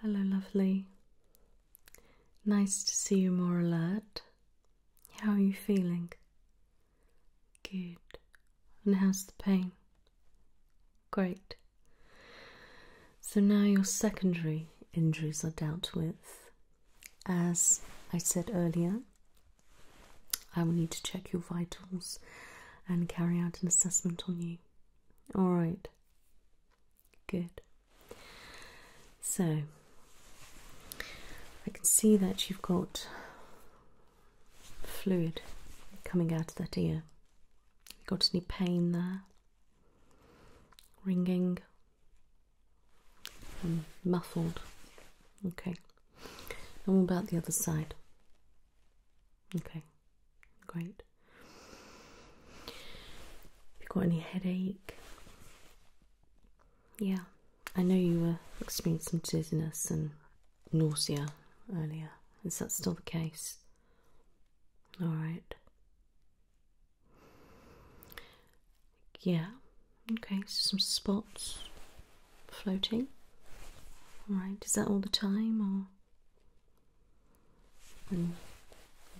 Hello, lovely. Nice to see you more alert. How are you feeling? Good. And how's the pain? Great. So now your secondary injuries are dealt with. As I said earlier, I will need to check your vitals and carry out an assessment on you. All right, good. So, I can see that you've got fluid coming out of that ear. got any pain there? Ringing? Mm, muffled. Okay. And what about the other side? Okay, great. Have you got any headache? Yeah, I know you were experiencing dizziness and nausea earlier. Is that still the case? All right. Yeah, okay, so some spots floating. Alright, is that all the time or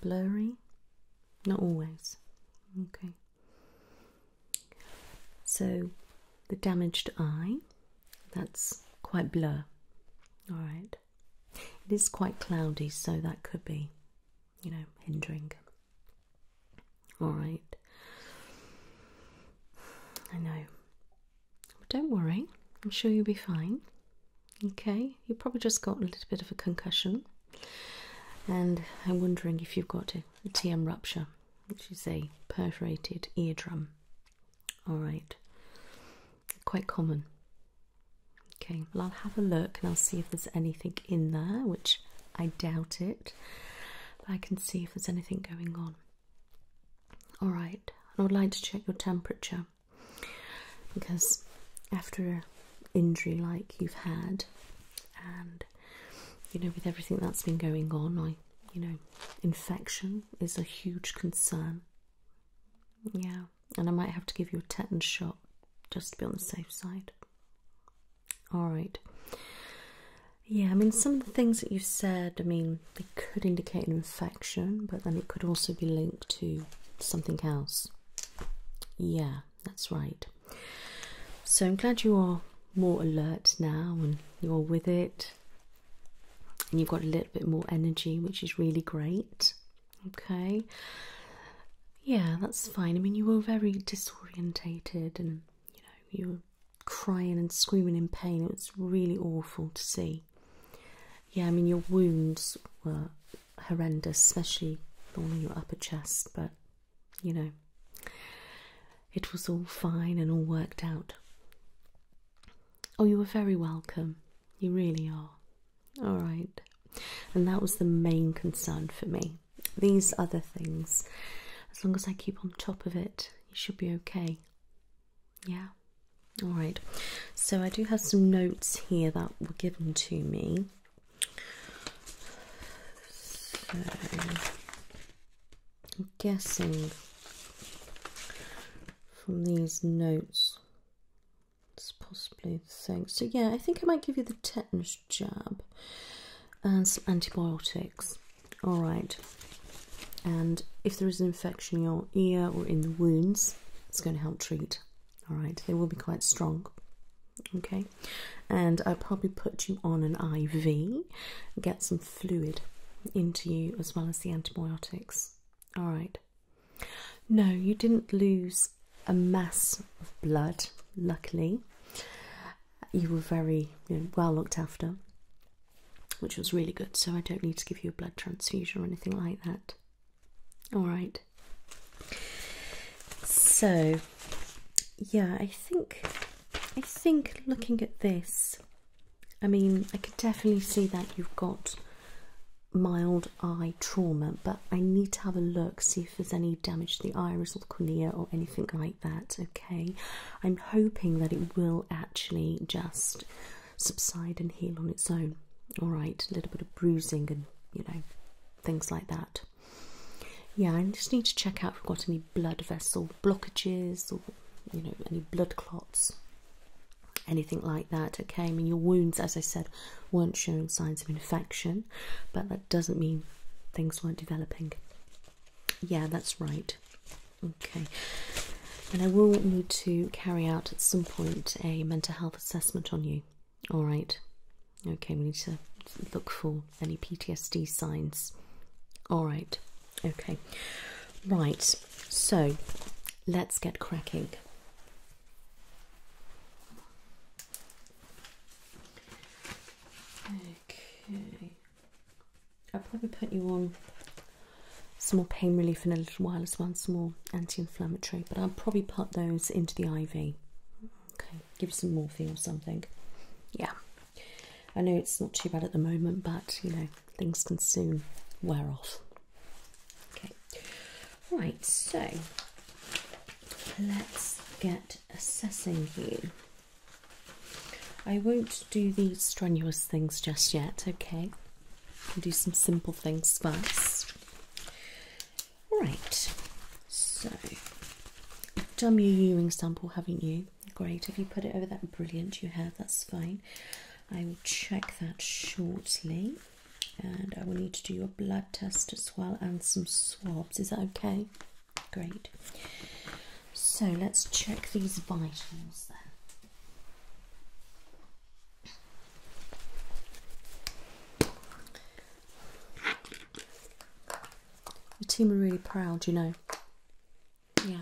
blurry? Not always. Okay. So the damaged eye, that's quite blur. Alright. It is quite cloudy, so that could be, you know, hindering. All right. I know. don't worry. I'm sure you'll be fine. Okay. You probably just got a little bit of a concussion. And I'm wondering if you've got a TM rupture, which is a perforated eardrum. All right. Quite common. Okay, well, I'll have a look and I'll see if there's anything in there, which I doubt it. I can see if there's anything going on. All right, I would like to check your temperature because after an injury like you've had, and you know, with everything that's been going on, I, you know, infection is a huge concern. Yeah, and I might have to give you a tetanus shot just to be on the safe side. All right. Yeah, I mean, some of the things that you said, I mean, they could indicate an infection, but then it could also be linked to something else. Yeah, that's right. So I'm glad you are more alert now and you're with it and you've got a little bit more energy, which is really great. Okay. Yeah, that's fine. I mean, you were very disorientated and, you know, you were crying and screaming in pain. It was really awful to see. Yeah, I mean, your wounds were horrendous, especially on your upper chest, but, you know, it was all fine and all worked out. Oh, you were very welcome. You really are. All right. And that was the main concern for me these other things, as long as I keep on top of it, you should be okay. Yeah. All right. So I do have some notes here that were given to me. So I'm guessing from these notes it's possibly the thing. So yeah, I think I might give you the tetanus jab and some antibiotics. All right, and if there is an infection in your ear or in the wounds, it's going to help treat. All right, they will be quite strong. Okay, and I'll probably put you on an IV, get some fluid into you as well as the antibiotics. All right, no, you didn't lose a mass of blood, luckily you were very well looked after, which was really good. So I don't need to give you a blood transfusion or anything like that. All right. So, yeah, I think I think looking at this, I mean, I could definitely see that you've got mild eye trauma, but I need to have a look see if there's any damage to the iris or cornea or anything like that. Okay, I'm hoping that it will actually just subside and heal on its own. All right, a little bit of bruising and you know things like that. Yeah, I just need to check out if we've got any blood vessel blockages or you know any blood clots, anything like that. Okay, I mean your wounds, as I said, weren't showing signs of infection, but that doesn't mean things weren't developing. Yeah, that's right. Okay. And I will need to carry out at some point a mental health assessment on you. All right. Okay, we need to look for any PTSD signs. All right. Okay. Right. So, let's get cracking. Okay. I'll probably put you on some more pain relief in a little while as well, some more anti inflammatory, but I'll probably put those into the IV. Okay, give you some morphine or something. Yeah. I know it's not too bad at the moment, but you know, things can soon wear off. Okay. Right, so let's get assessing you. I won't do these strenuous things just yet, okay? I'll do some simple things first. Right, so done your urine sample, haven't you? Great. If you put it over that, brilliant. You have. That's fine. I will check that shortly, and I will need to do your blood test as well and some swabs. Is that okay? Great. So let's check these vitals then. The team are really proud, you know. Yeah.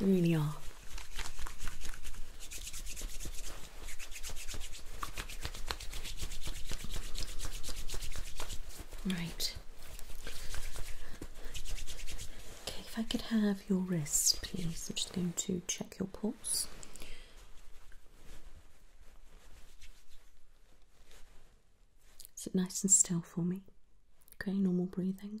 really are. Right. Okay, if I could have your wrist, please. I'm just going to check your pulse. Sit nice and still for me? Okay, normal breathing.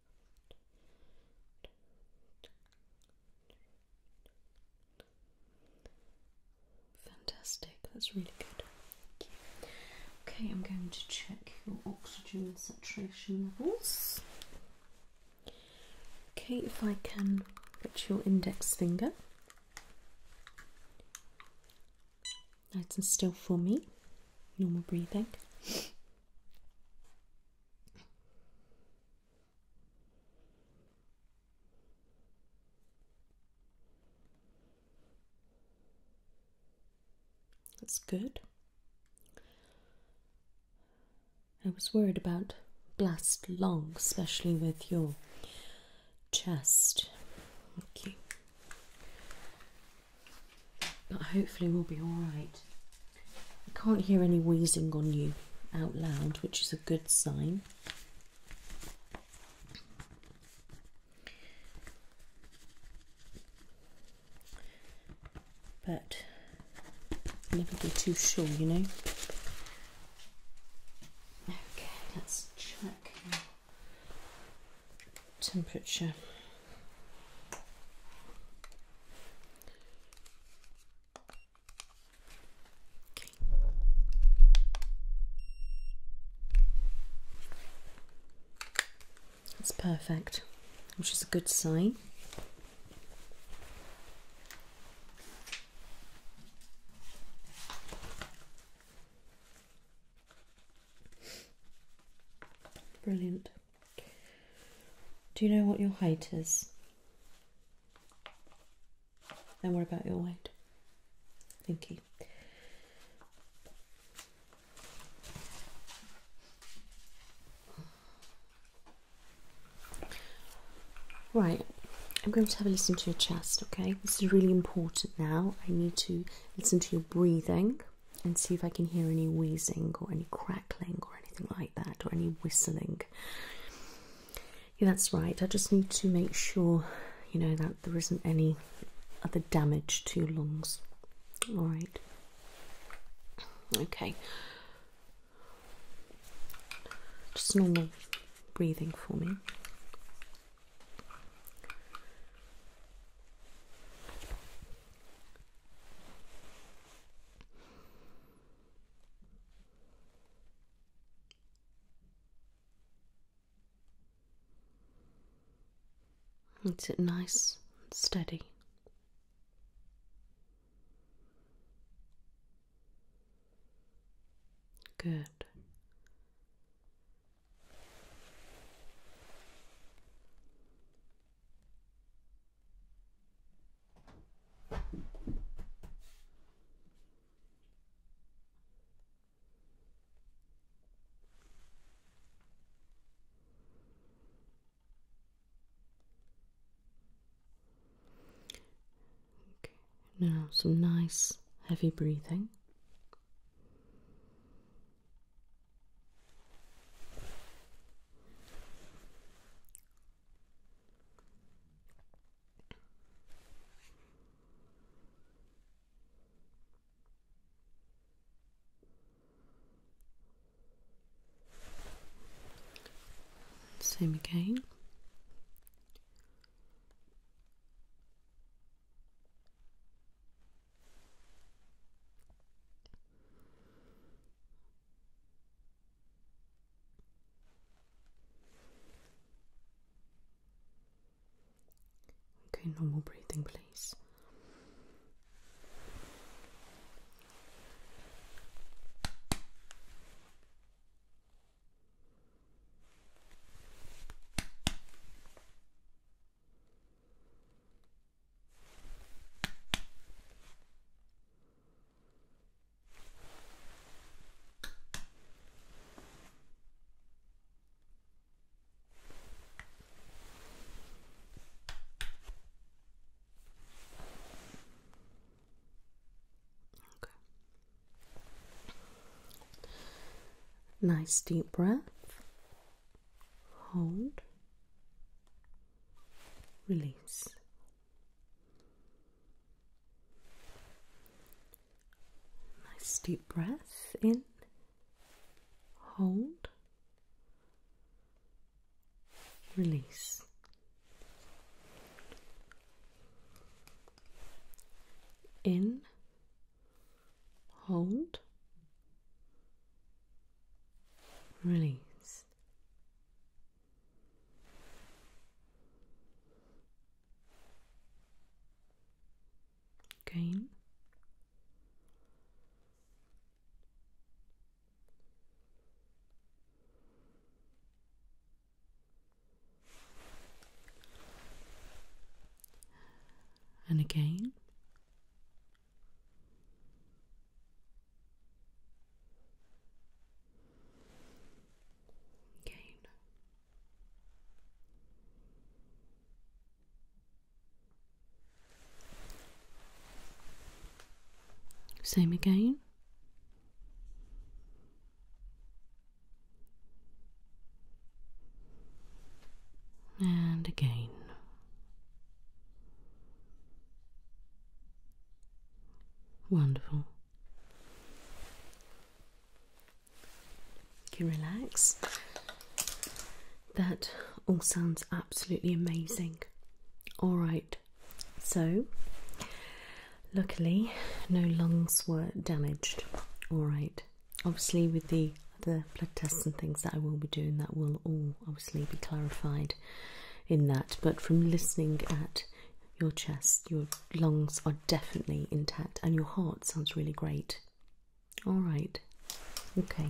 Fantastic, that's really good. Okay, I'm going to check your oxygen saturation levels. Okay, if I can put your index finger nice and still for me, normal breathing. That's good. I was worried about blast long, especially with your chest. But hopefully we'll be alright. I can't hear any wheezing on you out loud, which is a good sign. But never be too sure, you know. Okay, let's check temperature. Okay. That's perfect, which is a good sign. Brilliant. Do you know what your height is? And what about your weight? Thank you. Right, I'm going to have a listen to your chest, okay? This is really important now. I need to listen to your breathing and see if I can hear any wheezing or any crackling or anything like that, or any whistling. Yeah, that's right. I just need to make sure, you know, that there isn't any other damage to your lungs. All right. Okay. Just normal breathing for me. It's it nice and steady. Good now some nice heavy breathing. Same again. Okay, normal breathing, please. Nice deep breath. Hold. Release. Nice deep breath in, hold, release. In, hold, release. Gain. And again, Gain. Same again. And again. Wonderful can relax. That all sounds absolutely amazing. Alright, so luckily no lungs were damaged. Alright, obviously, with the other blood tests and things that I will be doing, that will all obviously be clarified in that. But from listening at your chest, your lungs are definitely intact, and your heart sounds really great. All right, okay.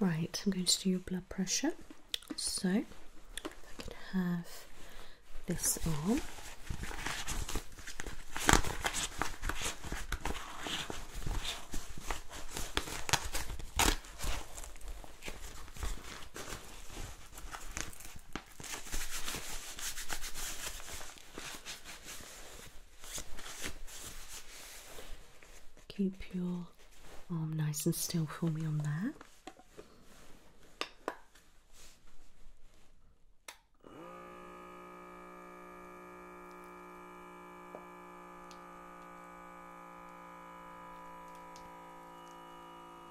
Right, I'm going to do your blood pressure. So, I could have this arm. Keep your arm nice and still for me on there.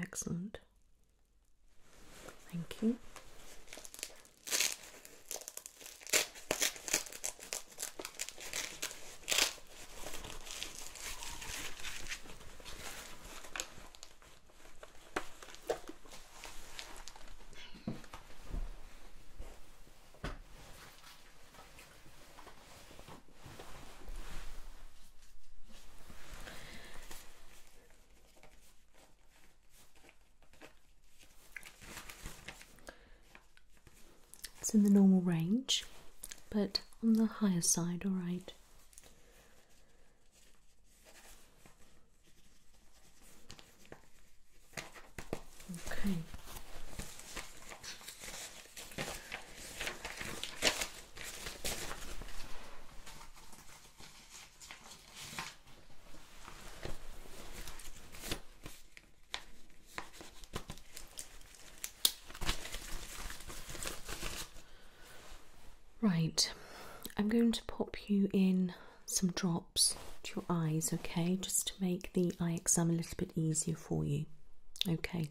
Excellent. Thank you. It's in the normal range, but on the higher side, all right. Okay. Right, I'm going to pop you in some drops to your eyes, okay, just to make the eye exam a little bit easier for you. Okay,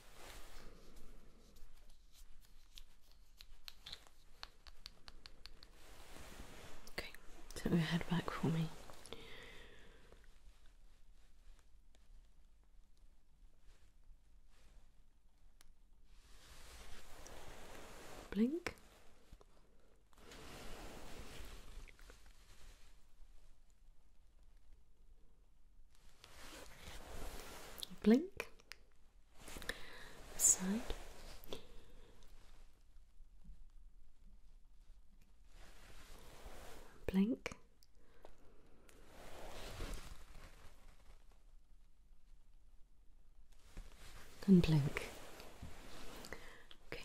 Okay, turn your head back for me. Blink blink side blink and blink okay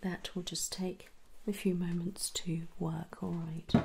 that will just take a few moments to work all right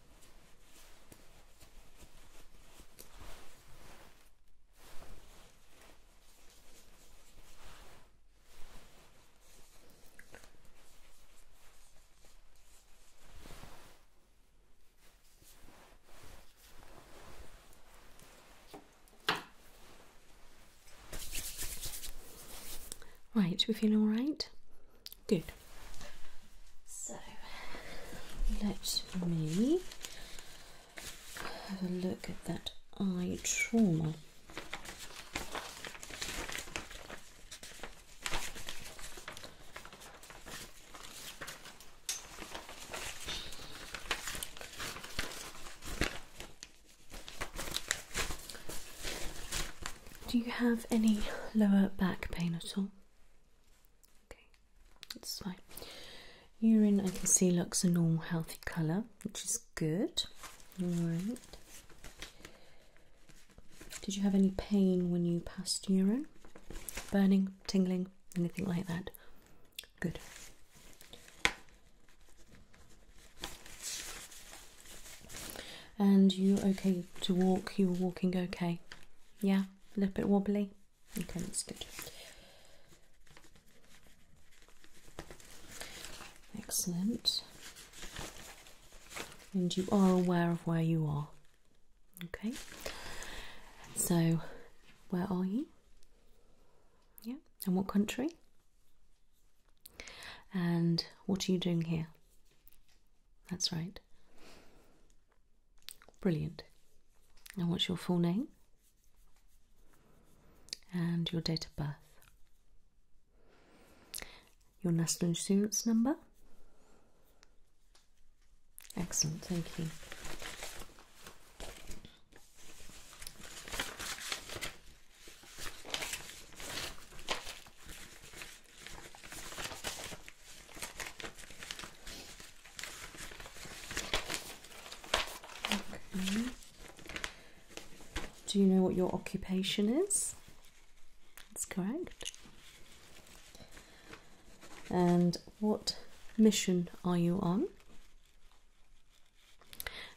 Right, we feel all right? Good. So let me have a look at that eye trauma. Do you have any lower back pain at all? Okay, that's fine. Urine, I can see, looks a normal, healthy colour, which is good. All right. Did you have any pain when you passed urine? Burning, tingling, anything like that? Good. And you okay to walk? You were walking okay? Yeah, a little bit wobbly. Okay, can stitch Excellent. And you are aware of where you are. Okay. So, where are you? Yeah. And what country? And what are you doing here? That's right. Brilliant. And what's your full name? And your date of birth? Your national insurance number? Excellent, thank you. Do you know what your occupation is? That's correct. And what mission are you on?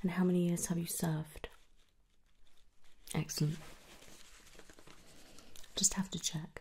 And how many years have you served? Excellent. Just have to check.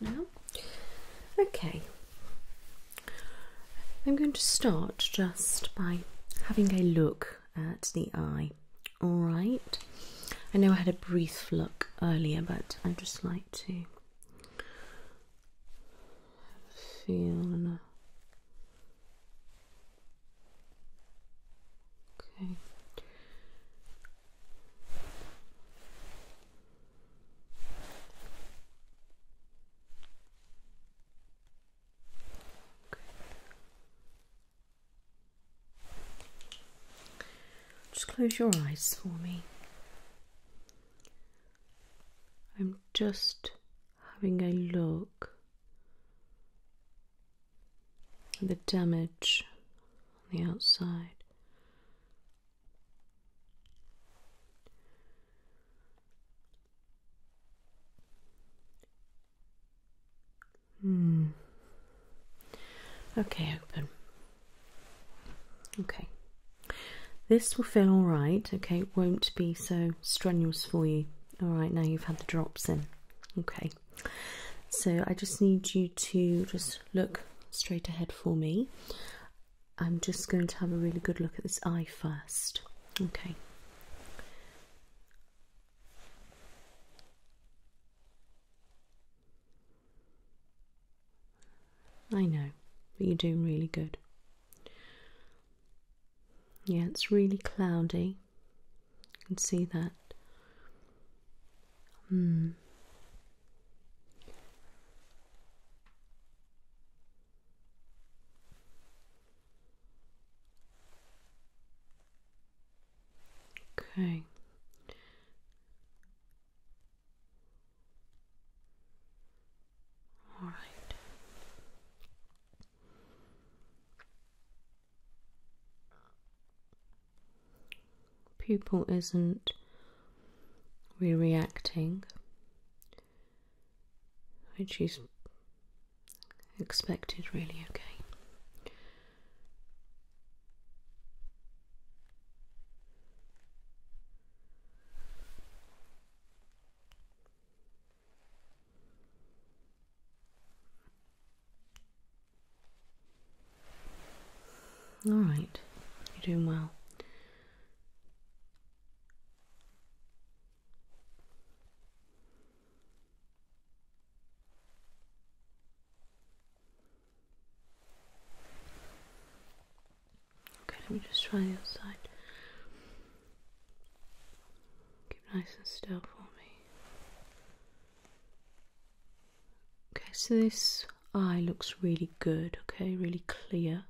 now. Okay, I'm going to start just by having a look at the eye. All right, I know I had a brief look earlier, but I just like to feel. Okay. Just close your eyes for me. I'm just having a look at the damage on the outside. Hmm. Okay, open. Okay. This will feel all right, okay? won't be so strenuous for you. All right, now you've had the drops in. Okay. So I just need you to just look straight ahead for me. I'm just going to have a really good look at this eye first. Okay. I know, but you're doing really good. Yeah, it's really cloudy. You can see that. Hmm. Okay. All right. Pupil isn't re-reacting which is expected, really, okay. All right, you're doing well. Okay, let me just try the other side. Keep nice and still for me. Okay, so this eye looks really good, okay, really clear.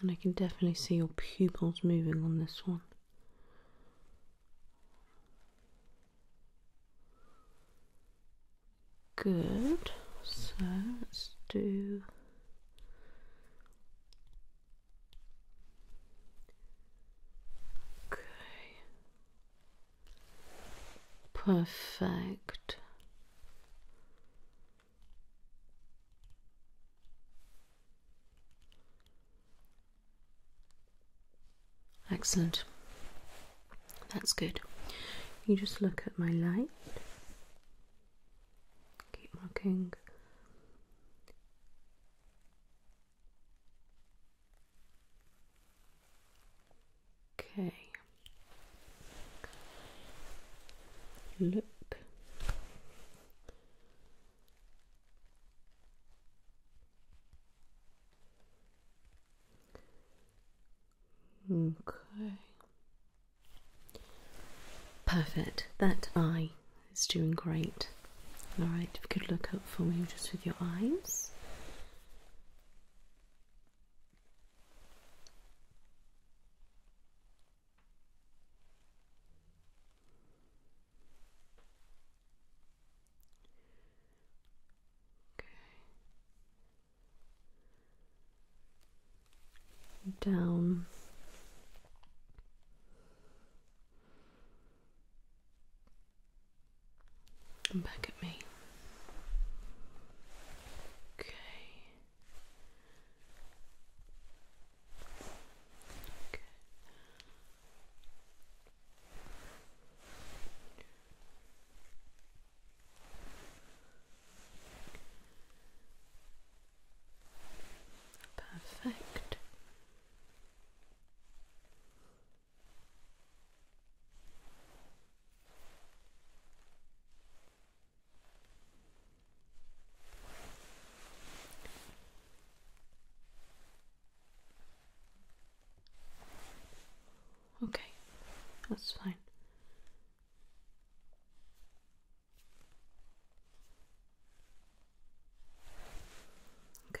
And I can definitely see your pupils moving on this one. Good. So let's do. Okay. Perfect. Excellent. That's good. You just look at my light. Keep looking. Okay. Look. Okay. Perfect. That eye is doing great. All right, Good look up for me just with your eyes. Okay. Down. And back at me. Okay. Okay. Perfect. Okay, that's fine. Okay.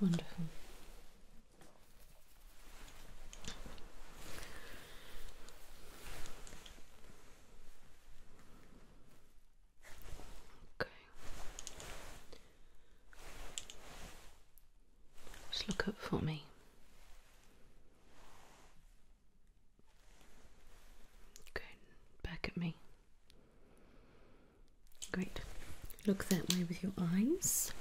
Wonderful. Okay. Just look up for me. Good. Back at me. Great. Look that way with your eyes.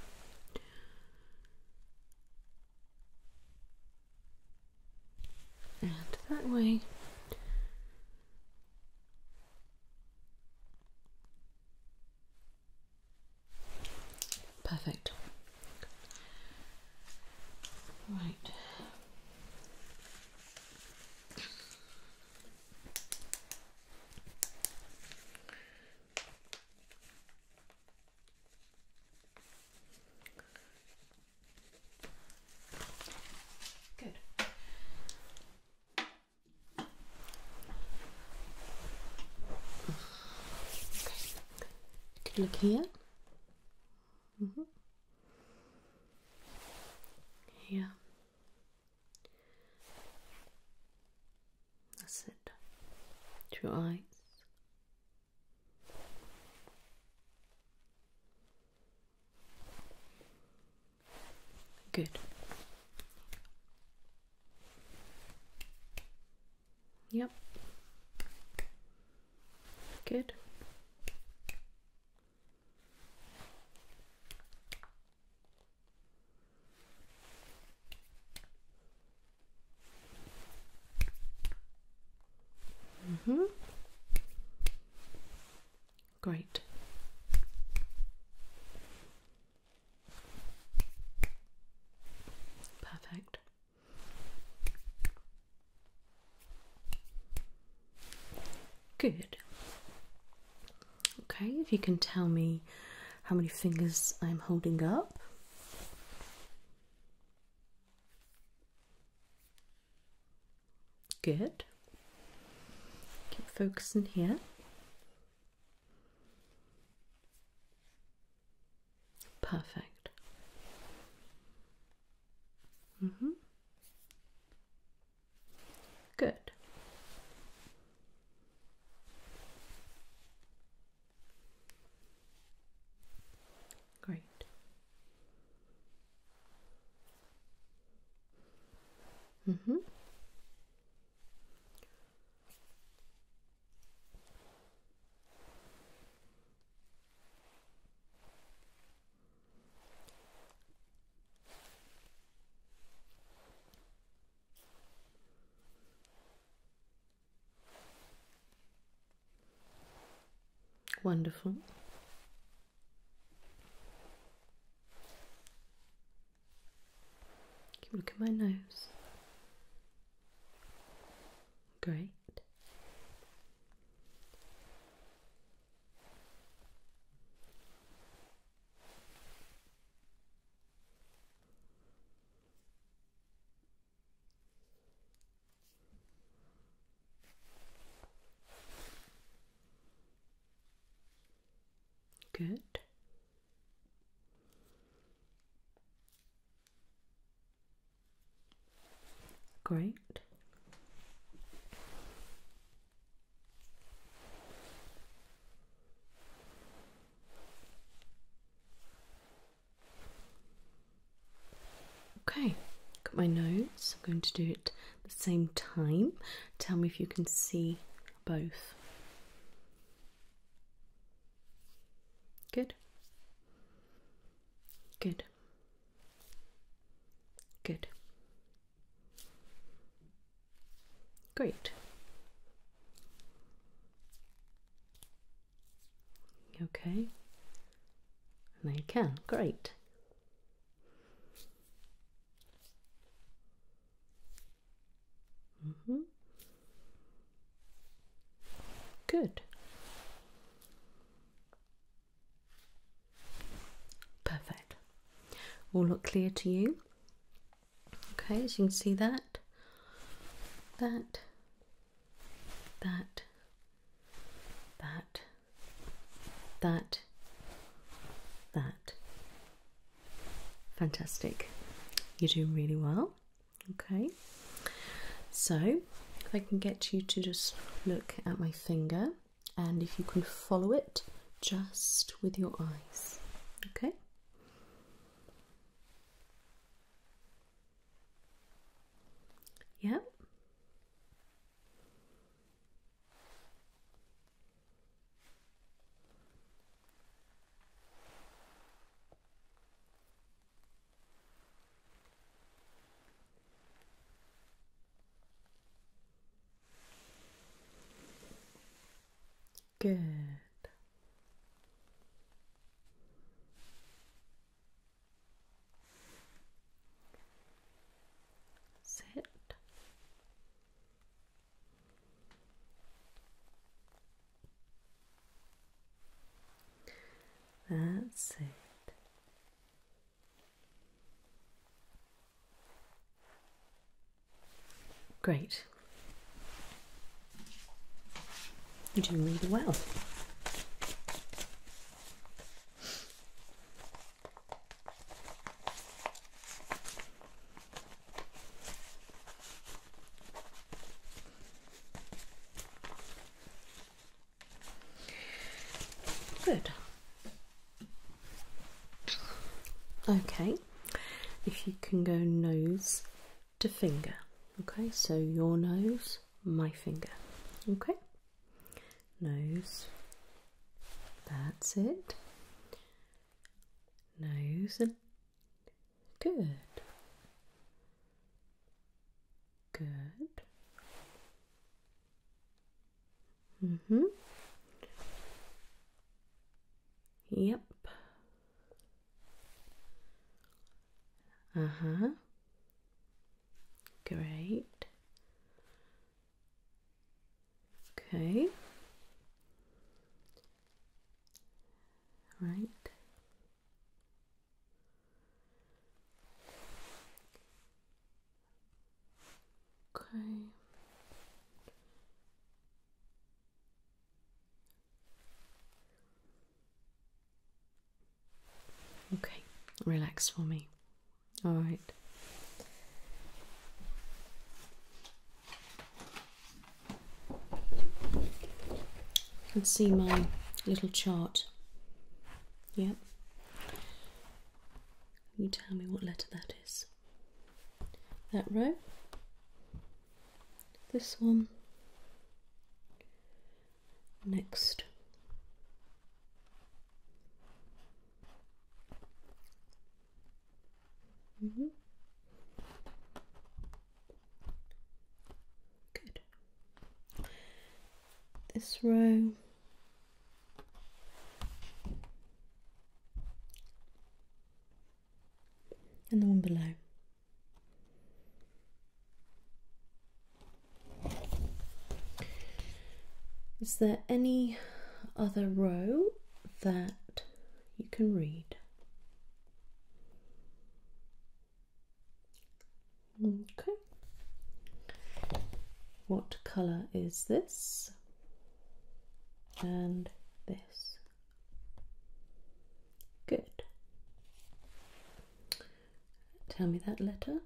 And that way. Perfect. Right. Good. Okay. Could look here. Mm -hmm. Here. That's it. Two eyes. Good. Yep. Good. Mm-hmm. Great. Perfect. Good. Okay, if you can tell me how many fingers I'm holding up. Good. Keep focusing here. Perfect. Mm -hmm. Good. Great. Mm hmm. Wonderful. Look at my nose. Great. Good. Great. Okay, got my notes. I'm going to do it at the same time. Tell me if you can see both. Good. Good. Good. Great. Okay. And then you can. Great. Mm -hmm. Good. Perfect. All look clear to you. Okay, as you can see that, that, that, that, that, that. Fantastic. You're doing really well. Okay. So, if I can get you to just look at my finger and if you can follow it just with your eyes, okay. Yep. Good. Sit. That's it. Great. You're doing really well. Good. Okay, if you can go nose to finger, okay, so your nose, my finger, okay, nose, that's it, nose, and good, good, Mm hmm. Yep. Uh huh. Great. Okay. Right. Okay. Okay, relax for me. All right. You can see my little chart. Yep. you tell me what letter that is? that row, this one, next. Mm-hmm. Good. This row, and the one below. Is there any other row that you can read? Okay. What colour is this? and this. Good. Tell me that letter.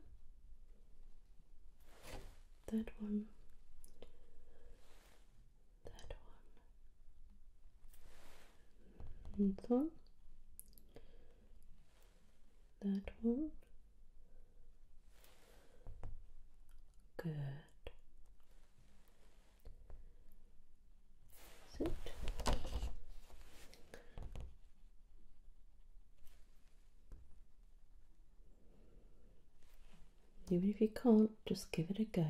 That one. That one. That one. Good. Even if you can't, just give it a go.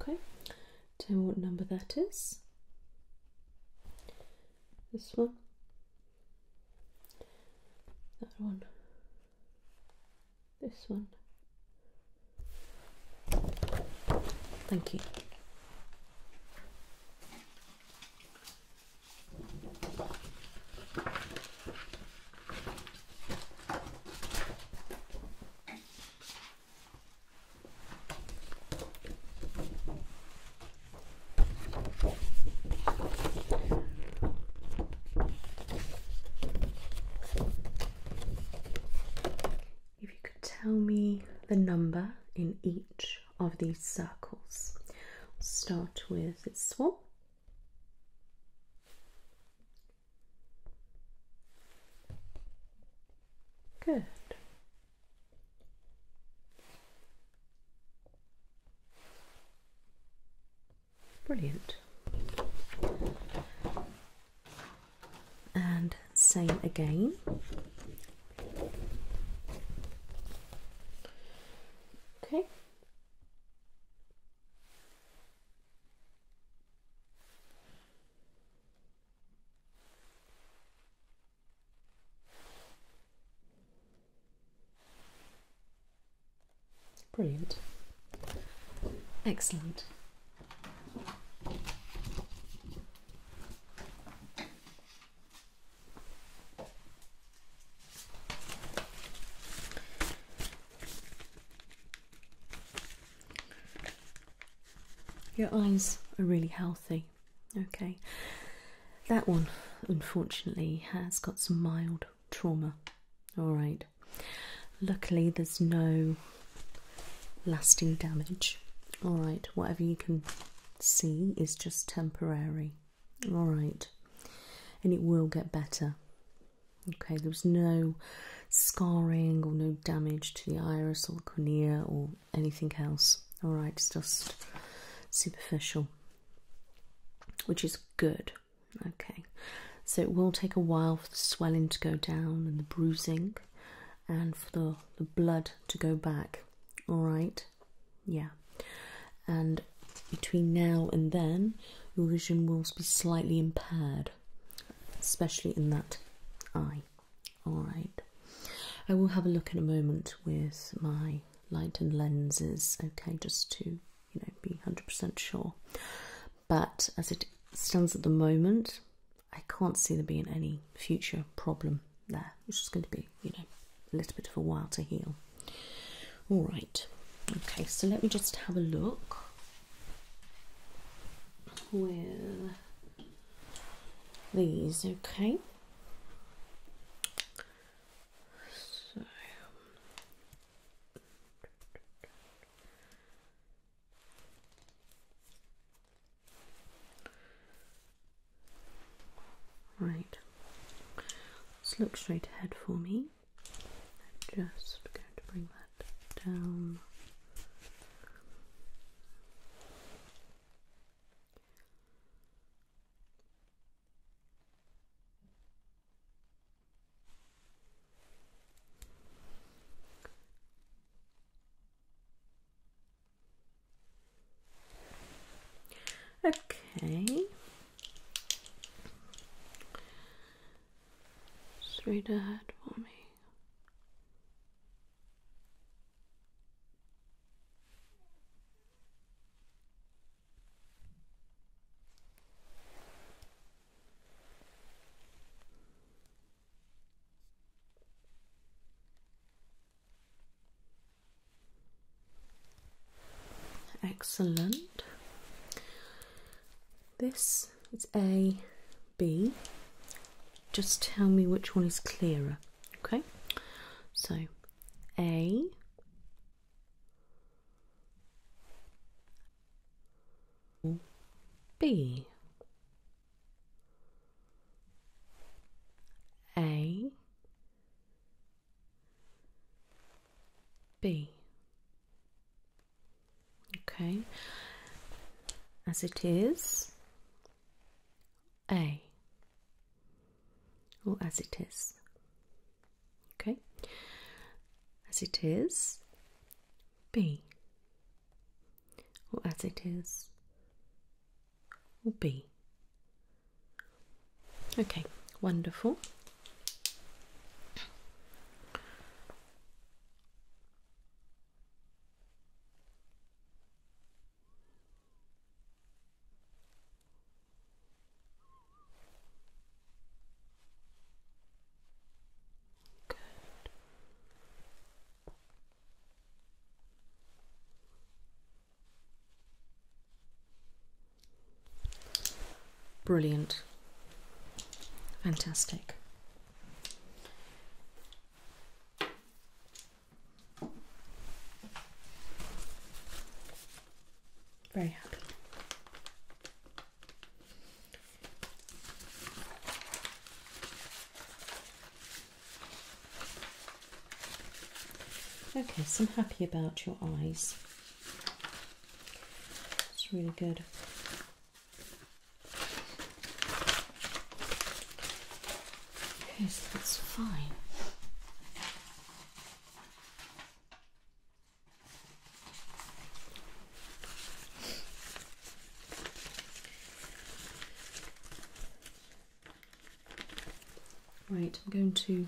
Okay, Tell me what number that is. This one. That one. This one. Thank you. If you could tell me the number in each of these circles, start with this one. Good. Brilliant. And same again. Okay. Brilliant. Excellent. Your eyes are really healthy. Okay. That one, unfortunately, has got some mild trauma. Alright. Luckily, there's no lasting damage. Alright, whatever you can see is just temporary. Alright. And it will get better. Okay, there was no scarring or no damage to the iris or the cornea or anything else. Alright, it's just superficial, which is good. Okay, so it will take a while for the swelling to go down and the bruising and for the, the blood to go back. Alright, yeah. And between now and then, your vision will be slightly impaired, especially in that eye. All right, I will have a look in a moment with my light and lenses, okay, just to you know be 100% sure. But as it stands at the moment, I can't see there being any future problem there, It's is going to be you know a little bit of a while to heal. All right, okay, so let me just have a look with these, okay? So Right. Let's look straight ahead for me. I'm just going to bring that down Okay. read ahead for me. Excellent. This is A B. Just tell me which one is clearer. Okay, so A B A B. Okay, as it is, a or as it is. Okay, as it is, B or as it is, or B. Okay, wonderful. Good. Brilliant. Fantastic. Very happy. Okay, so I'm happy about your eyes. It's really good. Yes, that's fine. Right, I'm going to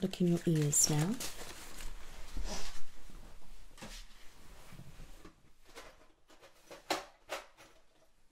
look in your ears now.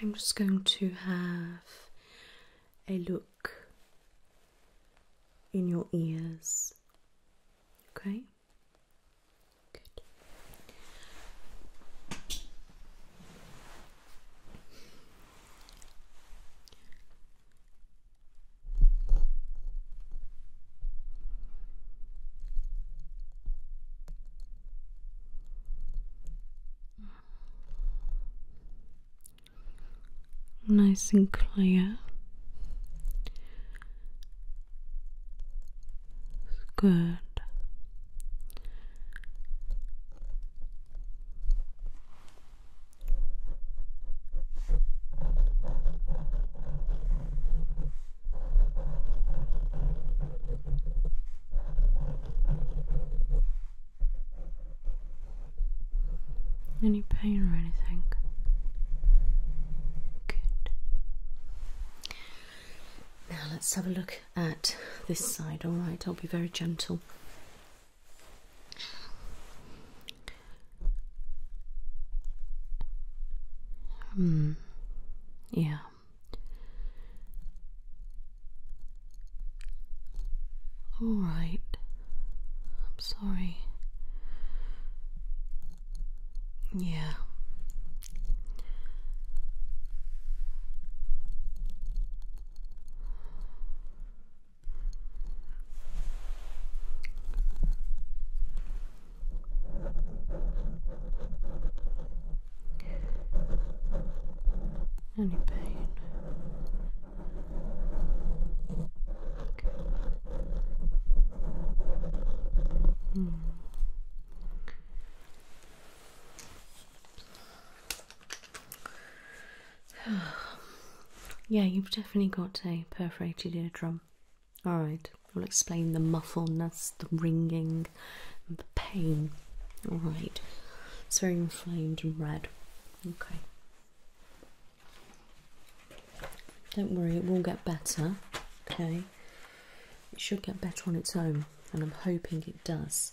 I'm just going to have a look in your ears. Okay? Good. Nice and clear. Good. Any pain or anything? Good. Now let's have a look at this side, alright? I'll be very gentle. Hmm. Yeah. All right. I'm sorry. Yeah. Any pain? Hmm. yeah, you've definitely got a perforated eardrum. All right, I'll explain the muffledness, the ringing, and the pain. All right, it's very inflamed and red. Okay. Don't worry, it will get better. Okay, it should get better on its own, and I'm hoping it does.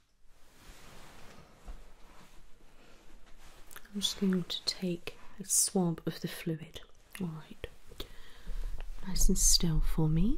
I'm just going to take a swab of the fluid. Alright. Nice and still for me.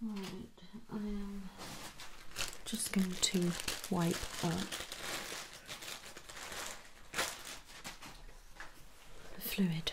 Right, I am um, just going to wipe up the fluid.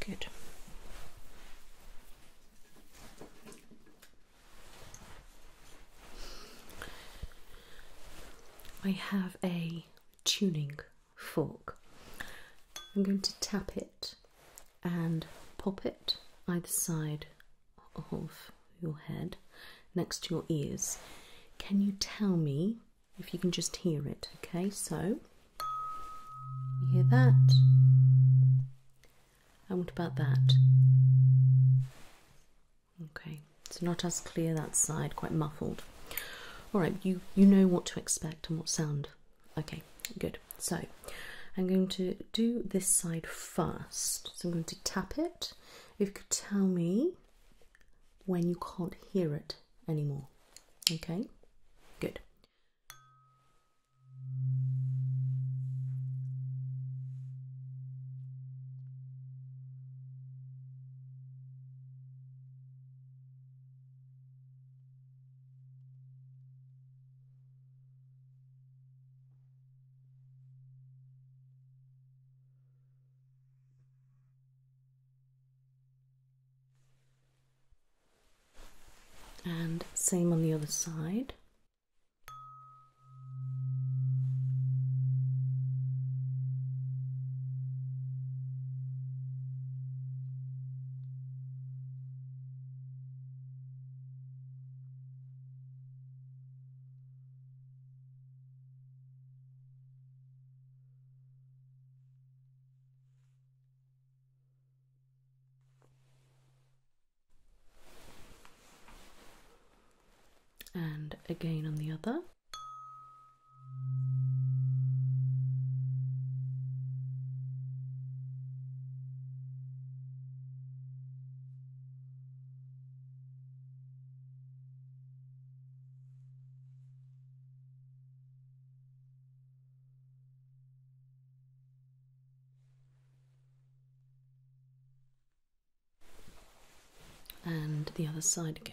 Good. I have a tuning fork. I'm going to tap it and pop it either side of your head next to your ears. Can you tell me if you can just hear it? Okay, so you hear that? And what about that? Okay, it's not as clear that side, quite muffled. All right, you you know what to expect and what sound Okay, good. So I'm going to do this side first. So I'm going to tap it. If you could tell me when you can't hear it anymore. Okay, good. And same on the other side and again on the other and the other side again.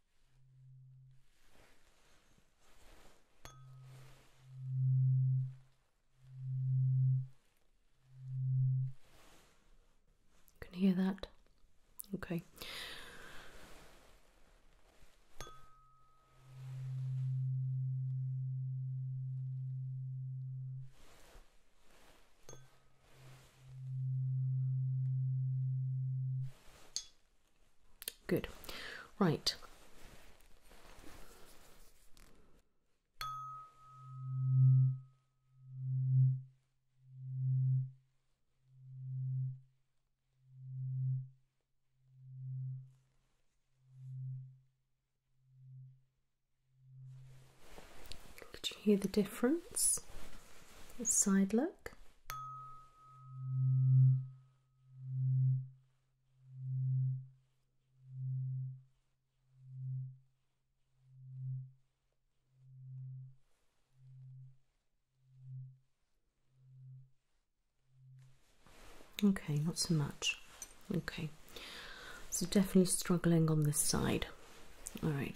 Can hear that? Okay. Good. Right. Could you hear the difference? A side look. Okay, not so much. Okay, so definitely struggling on this side. All right,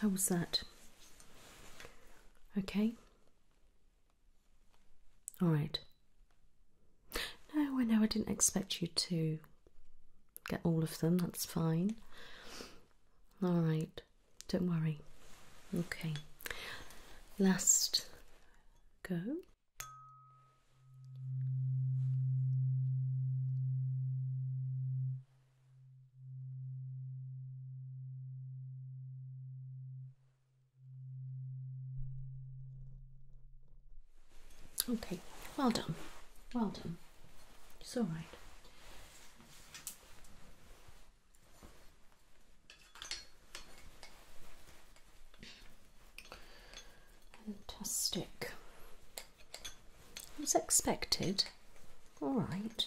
How was that? Okay. All right. No, I know I didn't expect you to get all of them, that's fine. All right, don't worry. Okay, last go. Okay, well done, well done. It's all right. Fantastic. It was expected. All right.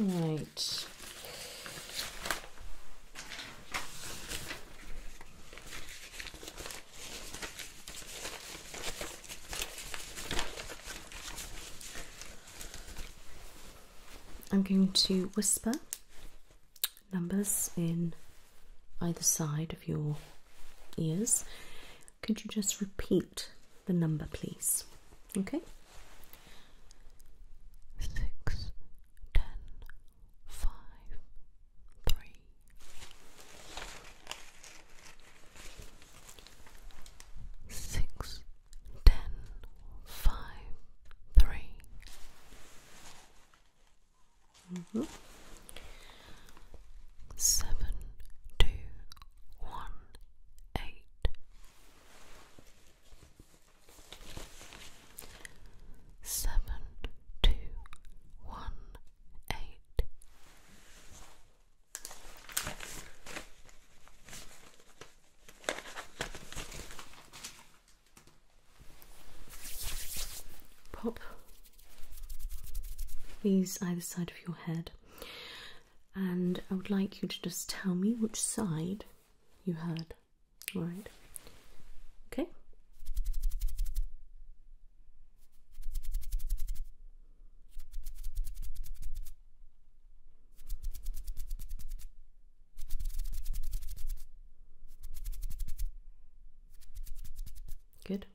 Right. I'm going to whisper numbers in either side of your ears. Could you just repeat the number, please. Okay? 6, 3. Six, ten, five, three. Mm-hmm. Seven, two, one, eight, seven two one eight Pop these either side of your head and I would like you to just tell me which side you heard. All right. Okay. Good.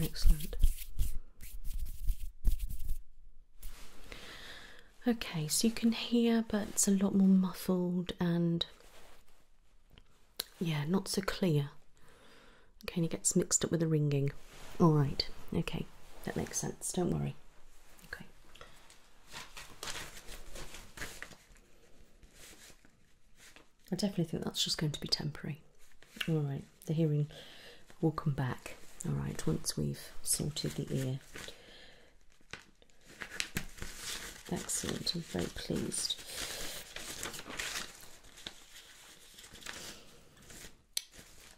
Excellent. Okay, so you can hear, but it's a lot more muffled and yeah, not so clear. Okay, and it gets mixed up with the ringing. All right, okay, that makes sense. Don't worry. Okay. I definitely think that's just going to be temporary. All right, the hearing will come back. All right, once we've sorted the ear. Excellent, I'm very pleased.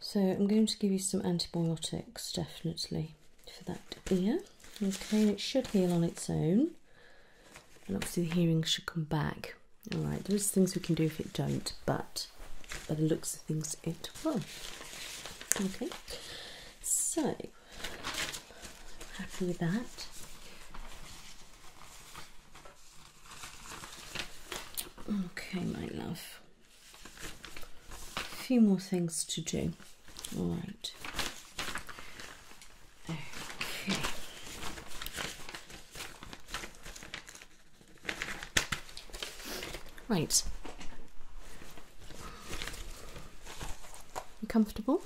So I'm going to give you some antibiotics definitely for that ear. Okay, and it should heal on its own. And obviously the hearing should come back. Alright, there is things we can do if it don't, but by the looks of things it will. Okay, so happy with that. Okay, my love a few more things to do. All right. Okay. Right. You comfortable?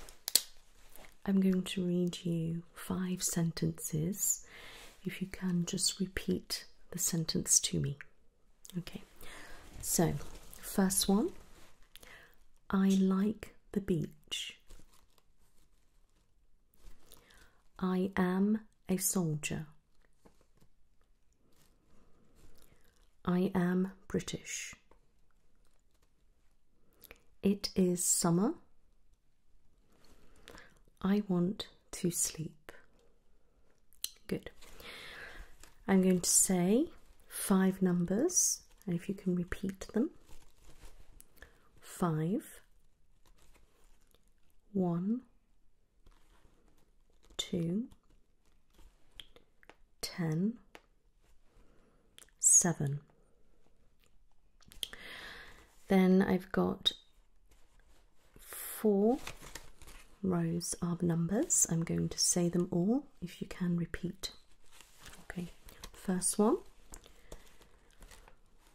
I'm going to read you five sentences. If you can, just repeat the sentence to me. Okay, so first one I like the beach. I am a soldier. I am British. It is summer. I want to sleep. Good. I'm going to say five numbers, and if you can repeat them five, one, two, ten, seven. Then I've got four rows of numbers. I'm going to say them all if you can repeat. Okay, first one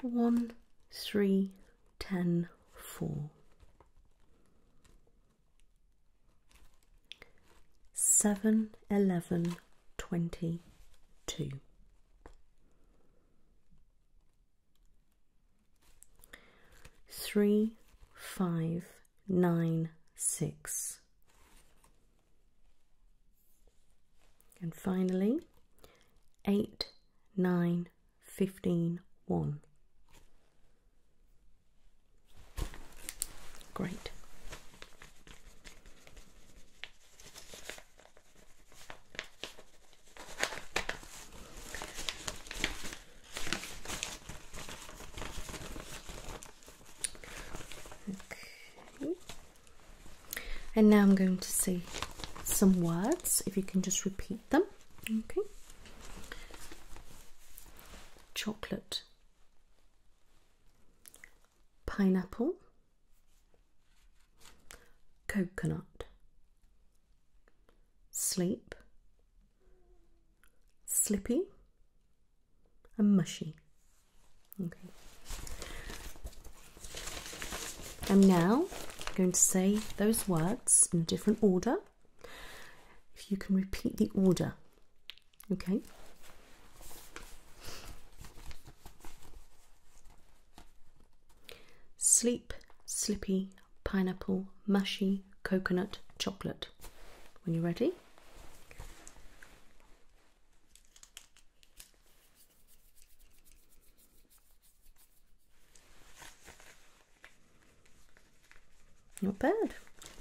one, three, ten, four. Seven, eleven, twenty, two three five nine six and finally eight nine fifteen one great and now I'm going to say some words. If you can just repeat them. Okay. Chocolate. Pineapple. Coconut. Sleep slippy and mushy. Okay. And now I'm going to say those words in a different order. If you can repeat the order, okay? Sleep, slippy, pineapple mushy coconut chocolate. When you're ready, not bad.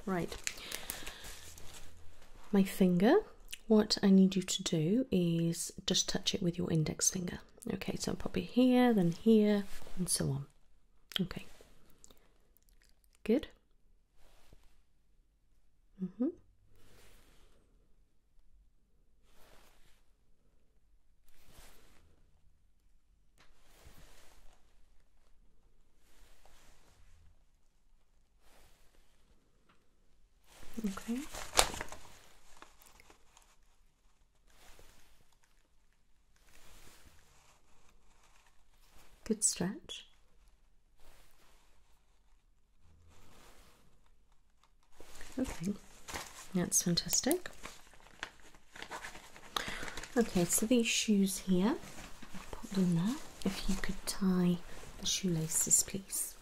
Right, my finger. What I need you to do is just touch it with your index finger. Okay, so i pop it here, then here, and so on. Okay. Good. Mhm. Okay. Good stretch. Okay, that's fantastic. Okay, so these shoes here, put them there. If you could tie the shoelaces, please.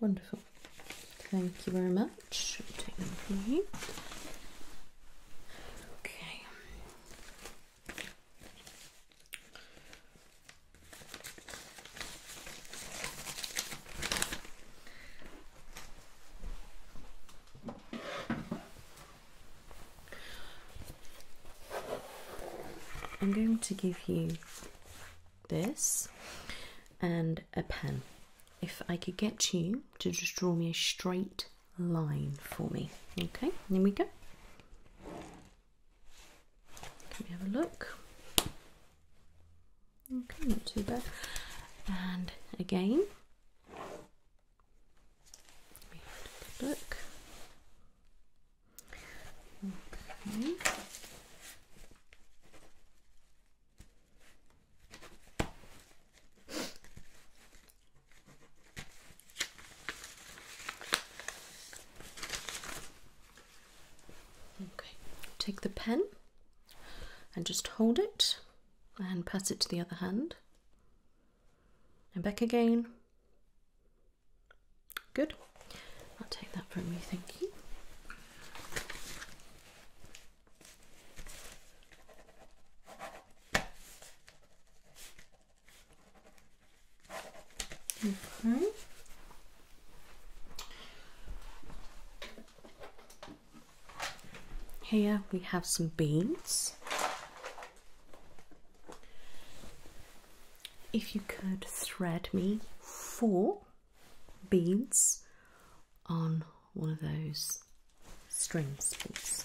Wonderful. Thank you very much. Okay. I'm going to give you this and a pen. If I could get you to just draw me a straight line for me, okay? Here we go. Let me have a look. Okay, not too bad. And again, look. Okay. Okay, take the pen and just hold it and pass it to the other hand and back again. Good. I'll take that from you, thank you. Okay. Here we have some beads. If you could thread me four beads on one of those strings, please.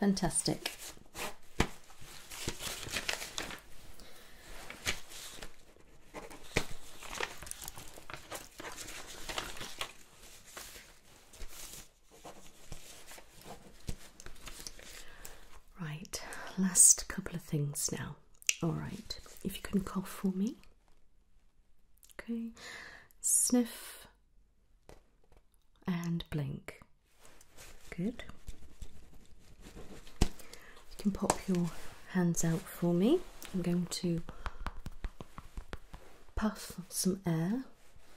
Fantastic. Right, last couple of things now. All right, if you can cough for me. Okay, sniff and blink. Good. You can pop your hands out for me. I'm going to puff some air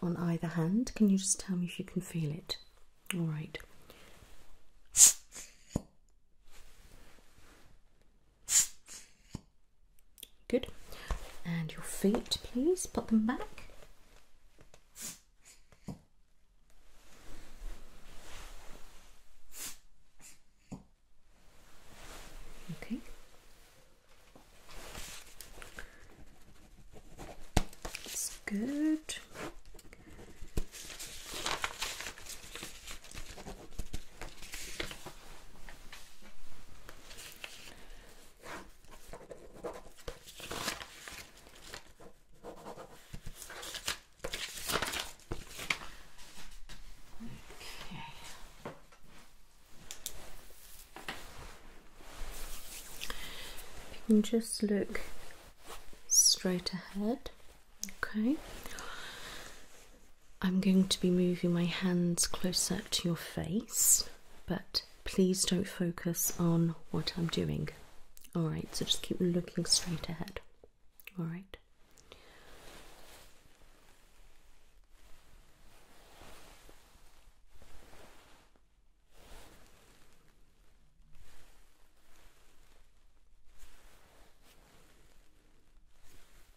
on either hand. Can you just tell me if you can feel it? All right. Good. And your feet, please, put them back. Okay. That's good. You can just look straight ahead, okay. I'm going to be moving my hands closer to your face, but please don't focus on what I'm doing. Alright, so just keep looking straight ahead. Alright.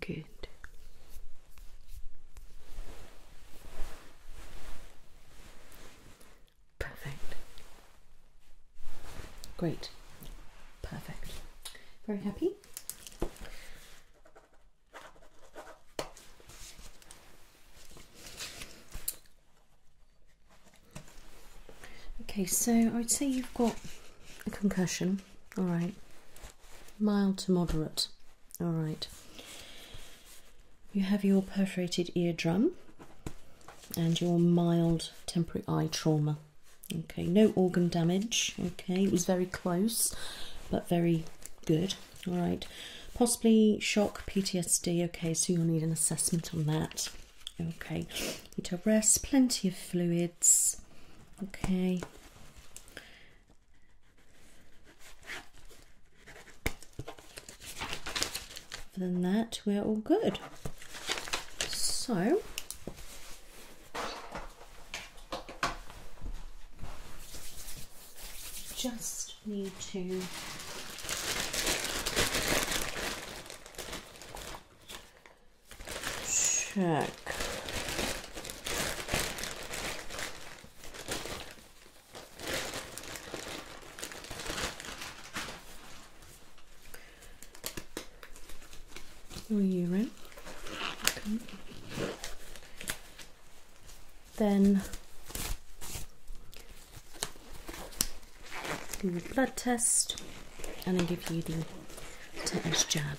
Good. Perfect. Great. Perfect. Very happy. Okay, so I would say you've got a concussion all right. Mild to moderate, all right. You have your perforated eardrum and your mild temporary eye trauma. Okay, no organ damage. Okay, it was very close, but very good. All right, possibly shock, PTSD. Okay, so you'll need an assessment on that. Okay, need to rest, plenty of fluids. Okay, other than that, we're all good. So, just need to check back. Your Then do the blood test and then give you the tetanus jab.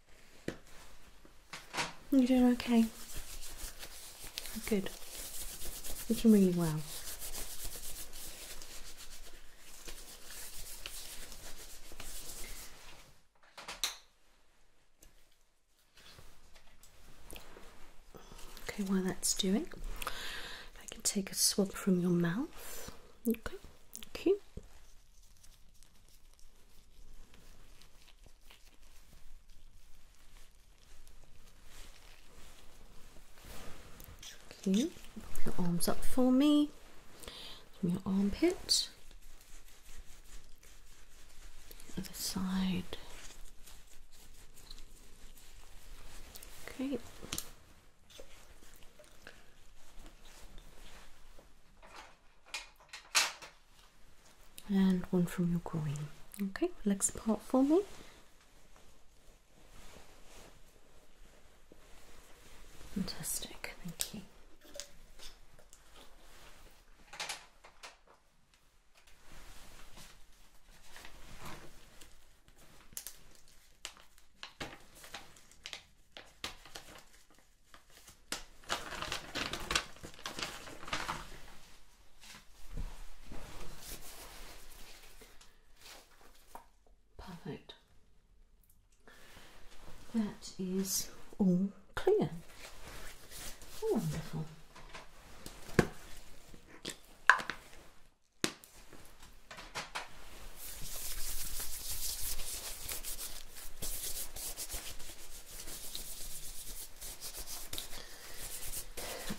You're doing okay. Good. you doing really well. Okay, while that's doing, I can take a swab from your mouth. Okay, Okay. Okay. Pop your arms up for me from your armpit. Other side. Okay and one from your groin. Okay, legs part for me. Fantastic, thank you. Perfect. That is all clear. Wonderful.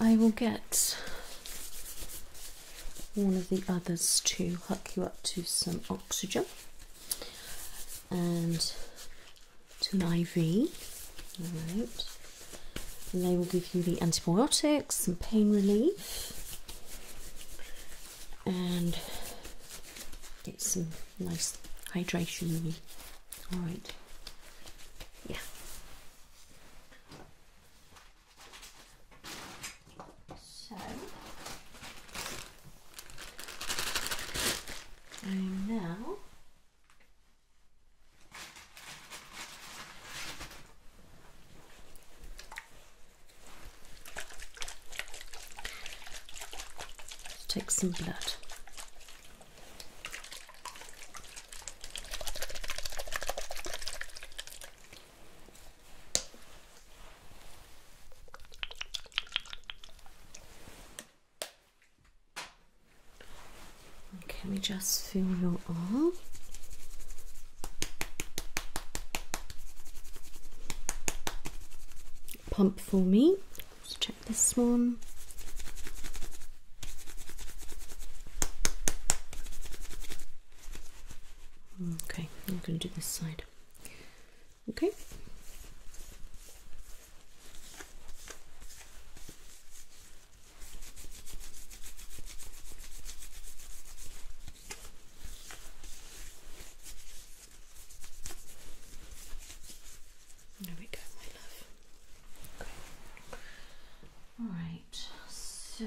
I will get one of the others to hook you up to some oxygen and to an IV. Alright. And they will give you the antibiotics, some pain relief, and get some nice hydration all right yeah so i now take some blood. Okay, we just feel your arm. Pump for me. Let's check this one. Okay, I'm going to do this side. Okay. There we go, my love. Alright, so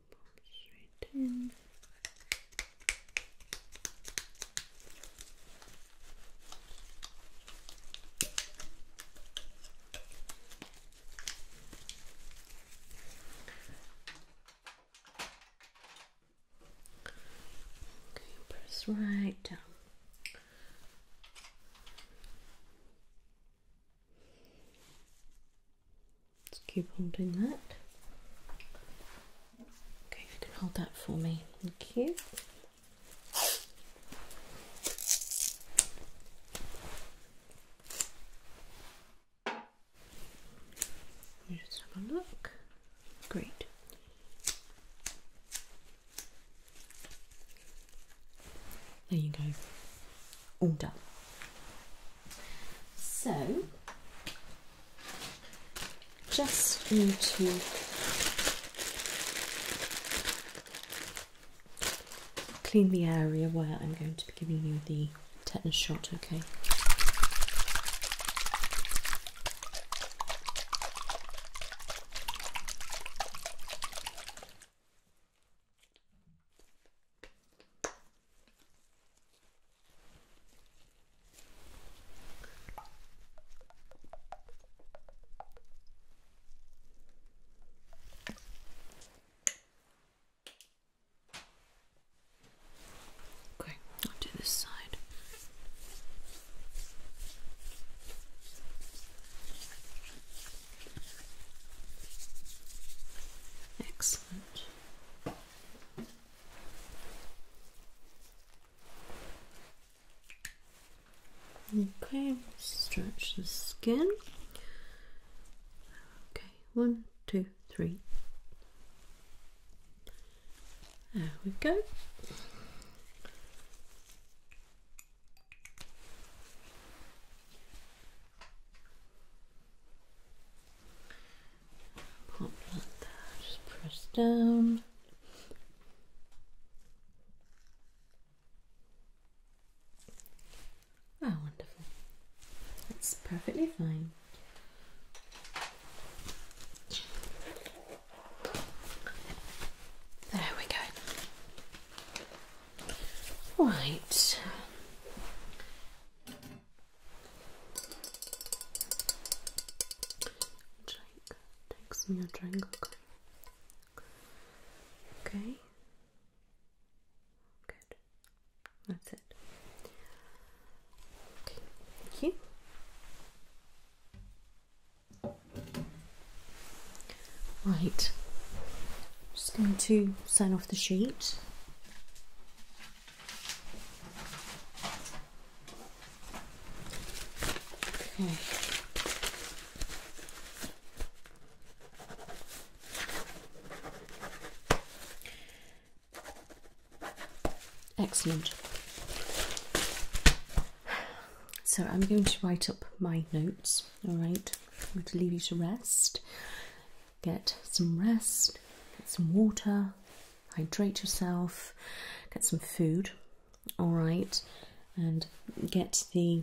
Pops right in. Okay, press right down. Let's keep holding that. Okay, if you can hold that for me. Thank you. just have a look. Great. There you go. All done. So just need to clean the area where I'm going to be giving you the tetanus shot, okay? Okay, I'll do this side. Excellent. Okay, stretch the skin. Okay, one, two, three. There we go. Pop that, just press down. Ah, wonderful. That's perfectly fine. There we go. Right. Drink. Takes okay. Okay. Good. That's it. Okay. Thank you. Right. Just going to sign off the sheet. Okay. Excellent. So I'm going to write up my notes, alright? I'm going to leave you to rest. Get some rest, get some water, hydrate yourself, get some food, all right, and get the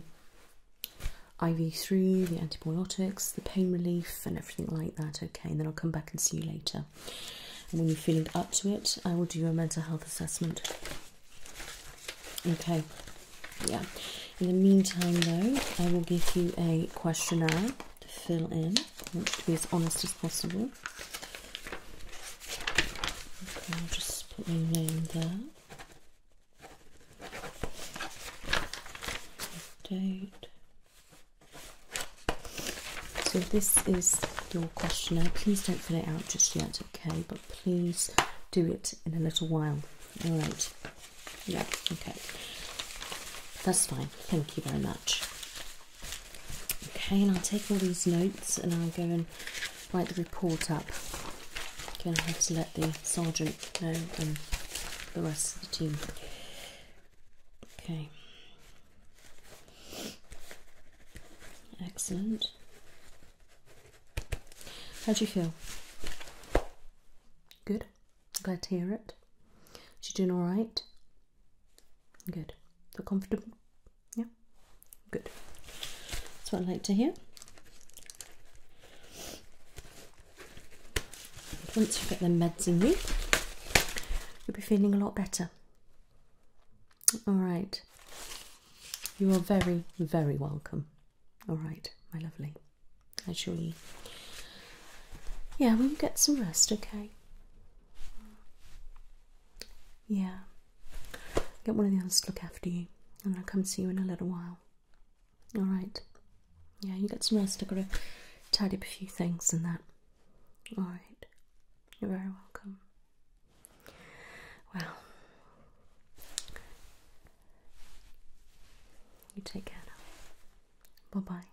IV3, the antibiotics, the pain relief, and everything like that. Okay, and then I'll come back and see you later. when you're feeling up to it, I will do a mental health assessment. Okay, yeah. In the meantime, though, I will give you a questionnaire to fill in. I want to be as honest as possible. Okay, I'll just put my name there. Date. So this is your questionnaire. Please don't fill it out just yet, okay? But please do it in a little while. All right. Yeah, okay. That's fine. Thank you very much. Okay, and I'll take all these notes and I'll go and write the report up. Okay, I'll have to let the sergeant know and the rest of the team. Okay. Excellent. How do you feel? Good. Glad to hear it. Is she doing all right? Good. so comfortable? Yeah? Good. That's what i like to hear. Once you get the meds in you, you'll be feeling a lot better. All right. You are very, very welcome. All right, my lovely. I assure you. Yeah, we'll get some rest, okay? Yeah. Get one of the others to look after you, and I'll come see you in a little while. All right. Yeah, you get some rest. I've got to tidy up a few things and that. All right. You're very welcome. Well, you take care now. Bye bye.